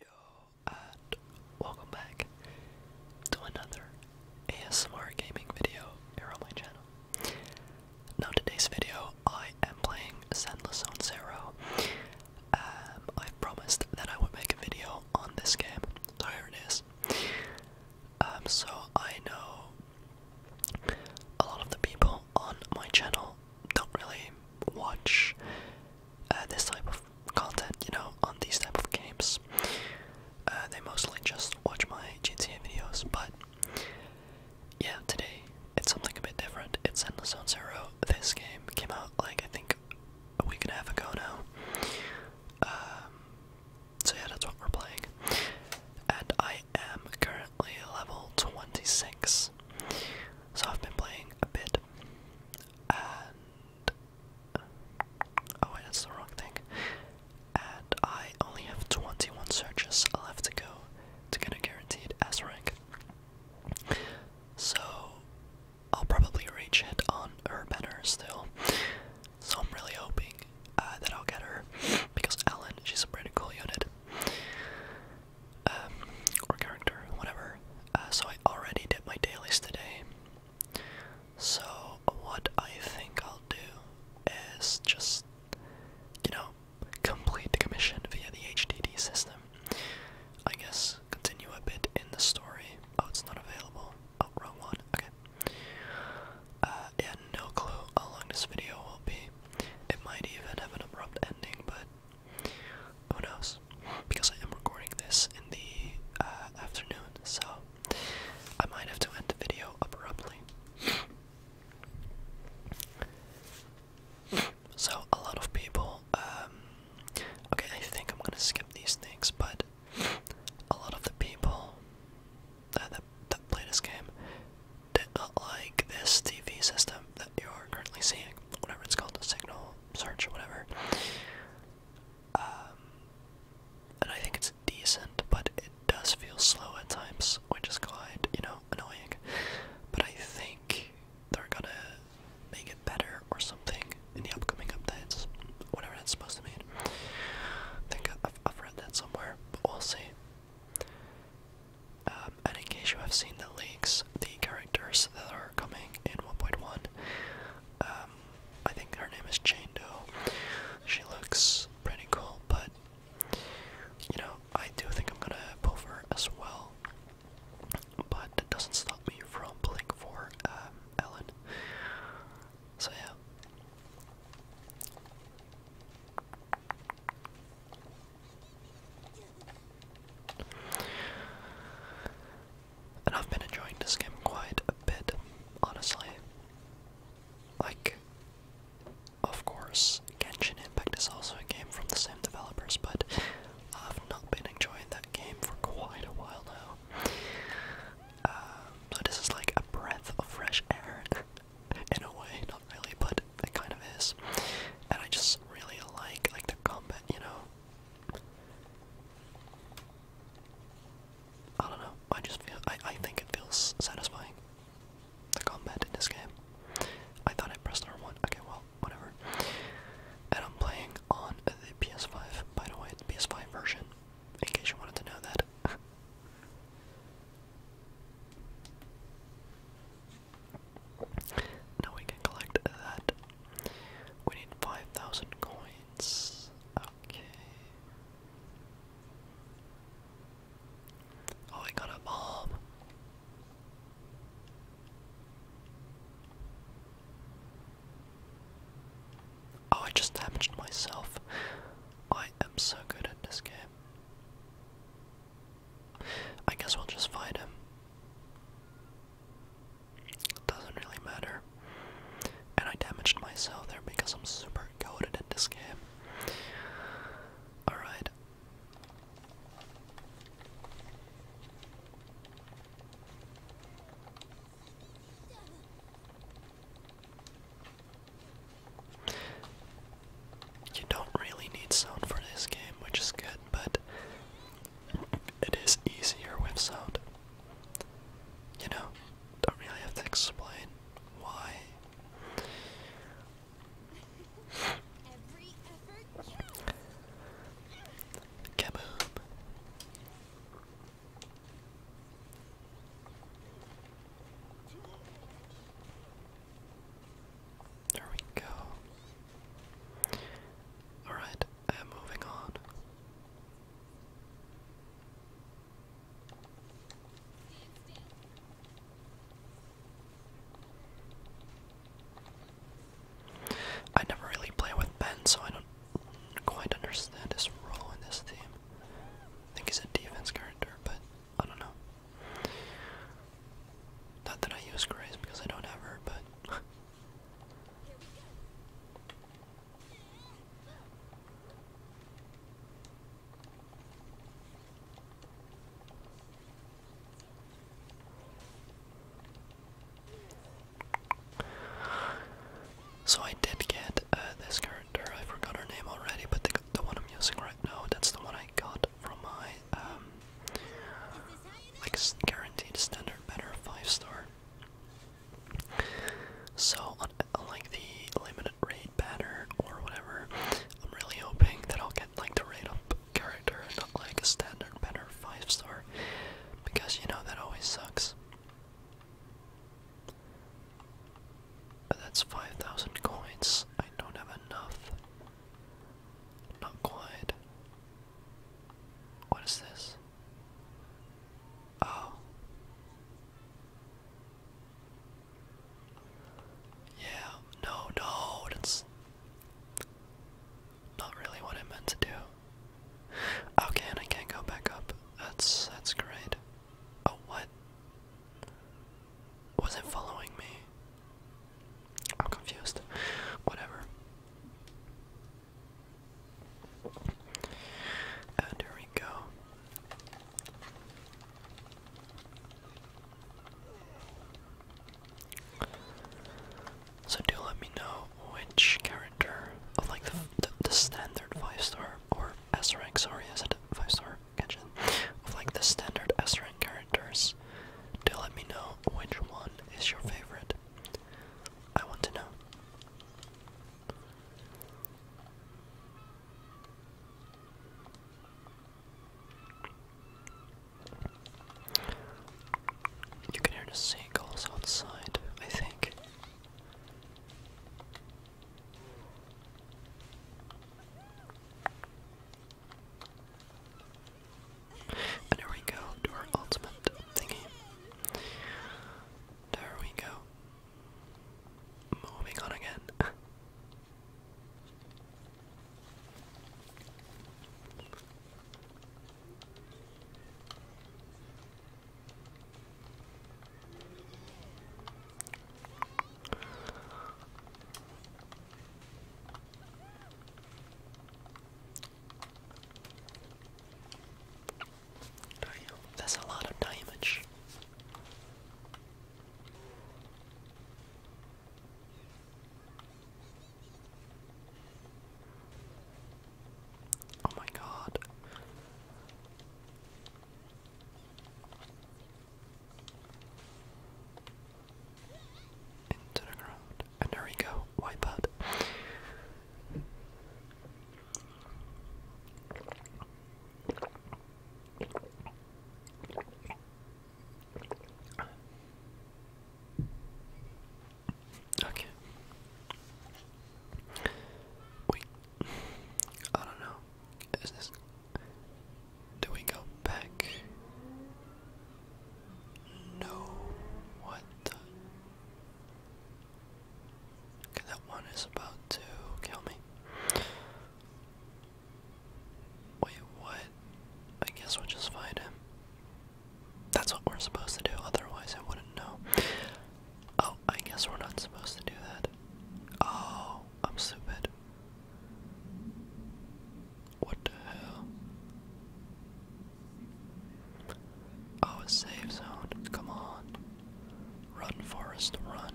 Yo, and welcome back to another ASMR gaming video here on my channel. Now, today's video, I am playing Sendless on Zero. Um, I promised that I would make a video on this game, so here it is. Um, so I know a lot of the people on my channel don't really watch uh, this type of content, you know, on these type of games. Uh, they mostly just watch my GTA videos, but yeah, today it's something a bit different. It's Endless Zone Zero. This game came out like I think a week and a half ago now. Um, so yeah, that's what we're playing, and I am currently level twenty six. So I've been playing a bit and oh wait, that's the wrong thing. And I only have 21 searches left to go to get a guaranteed S rank. So I'll probably reach it on her better still. So I'm really hoping uh, that I'll get her because Ellen, she's a pretty cool unit. Um, or character, whatever. Uh, so I already did my dailies today. So what I think I'll do is just, you know, complete the commission via the HDD system. I guess continue a bit in the story. Oh, it's not available. Oh, wrong one. Okay. Uh, yeah, no clue how long this video will be. It might even have an abrupt ending, but who knows? Because I am recording this in the uh, afternoon, so I might have to end the video abruptly. So, a lot of people, um, okay, I think I'm gonna skip these things, but a lot of the people that, that, that play this game did not like this TV system that you're currently seeing, whatever it's called, the signal search or whatever. Um, and I think it's decent, but it does feel slow at times, which is quite, you know, annoying. But I think they're gonna make it better or something in the upcoming updates, whatever that's supposed to mean. I think I've read that somewhere, but we'll see. Um, and in case you have seen the leaks, the characters that are coming in 1.1, um, I think her name is Jane Doe. She looks pretty cool, but you know, I do think I'm gonna pull her as well. But it doesn't stop me from pulling for um, Ellen. So yeah. And I've been enjoying this game quite a bit, honestly. Like, of course, Genshin Impact is also a game from the same developers, but I've not been enjoying that game for quite a while now. Um, so this is like a breath of fresh air, in a way, not really, but it kind of is. And I just really like like the combat, you know. I don't know. I just feel I I think it feels satisfying. The combat in this game. I thought I pressed number one Okay, well, whatever. And I'm playing on the PS5, by the way, the PS5 version, in case you wanted to know that. Now we can collect that. We need 5,000 coins. Okay. Oh, I got a bomb. Oh, I just damaged myself. I am so good at this game. I guess we'll just fight him. Doesn't really matter. And I damaged myself there because I'm super goaded at this game. Alright. You don't really need sound for this game, which is good, but it is easier with sound. You know, don't really have to explain why. Kaboom. There we go. Alright, uh, moving on. I never really play with Ben, so I don't quite understand his role in this team. I think he's a defense character, but I don't know. Not that I use grace because I don't have her, but So I did get uh, this character. I forgot her name already, but the, the one I'm using right now, that's the one I got from my um like guaranteed standard better five star. So unlike uh, the limited rate banner or whatever, I'm really hoping that I'll get like the raid up character and not like a standard better five star because you know that always sucks. But that's 5,000 coins. I don't have enough. Not quite. What is this? Oh. Yeah, no, no, that's not really what I meant to do. Okay, and I can't go back up. That's that's great. Oh what? Was it following me? I'm confused. Whatever. And here we go. So do let me know which character of like the, the standard five star or S rank sorry is it five star or Genshin of like the standard S characters do let me know which one is your favorite. I want to know. You can hear the seagulls outside, I think. And here we go to our ultimate thingy. There we go. Moving on again that's a lot of damage. Oh my god. Into the ground. And there we go. Wipe out. Okay. Wait. I don't know. Do we go back? No. What that one is about to kill me. Wait, what? I guess we'll just fight him. That's what we're supposed to do, otherwise, I wouldn't know. Oh, I guess we're not supposed to do that. Oh, I'm stupid. What the hell? Oh, a safe zone. Come on. Run, Forest, run.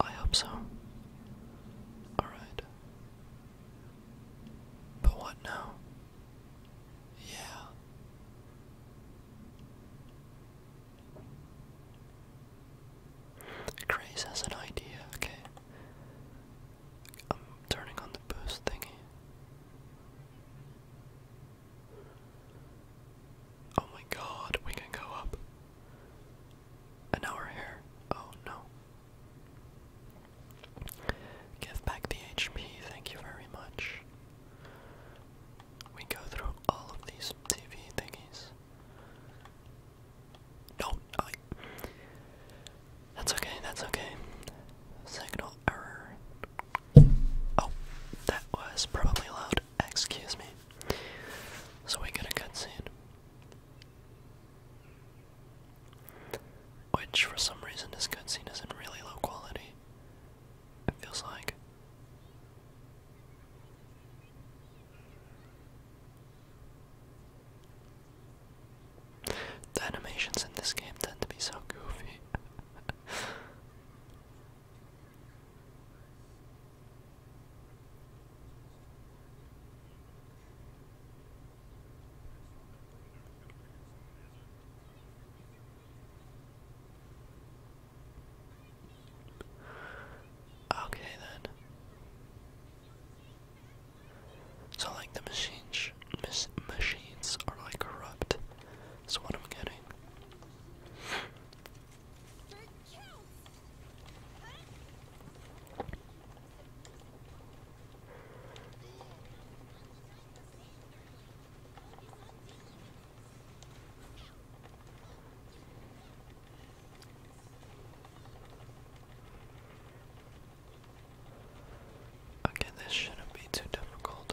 I hope so. Alright. But what now? Yeah. Grace has an idea, okay. I'm turning on the boost thingy. Oh my god, we can go up. And now we're here. Oh no. Give back the HP, thank you very much. We go through all of these TV thingies. No, That's okay, that's okay. Signal error. Oh, that was probably loud. Excuse me. So we get a cutscene. Which, for some reason, this cutscene is in really low quality. It feels like. The animations in this game tend to be so goofy. Okay then. So like the machines, machines are like corrupt. That's what i getting. Okay, this shouldn't be too difficult.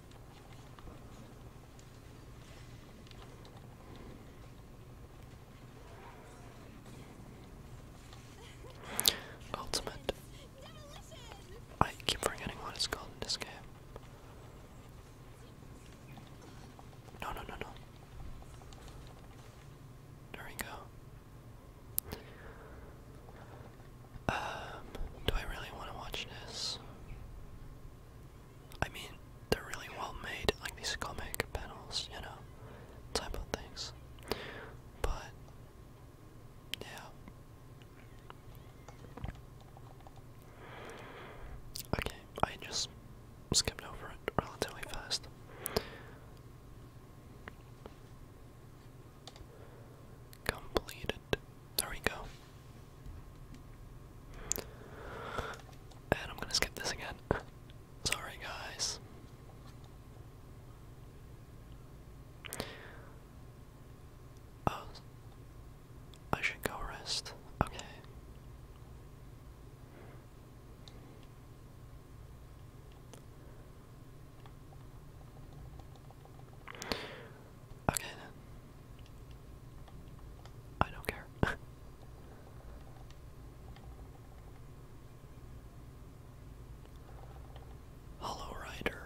Ultimate. I keep forgetting what it's called in this game. No, no, no, no. There Um, do I really want to watch this? I mean, they're really well made, like these comic panels, you know, type of things. But, yeah. Okay, I just skipped over it relatively fast. Completed. There we go. And I'm gonna skip this again. Sorry, guys. Oh, I should go rest. Okay. Okay then. I don't care. Hollow Rider.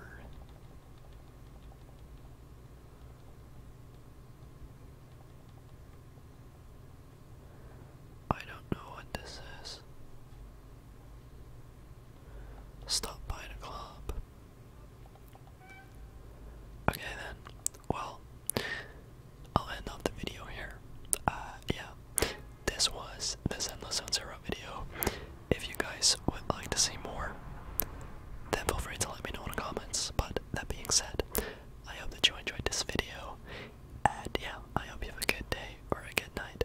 I don't know what this is. Stop by the club. Okay then. Well, I'll end off the video here. Uh, yeah, this was this Endless Zone Zero video. If you guys would like to see more, then feel free to let me know in the comments. But that being said, I hope that you enjoyed this video. And yeah, I hope you have a good day or a good night.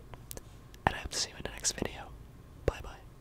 And I hope to see you in the next video. Bye bye.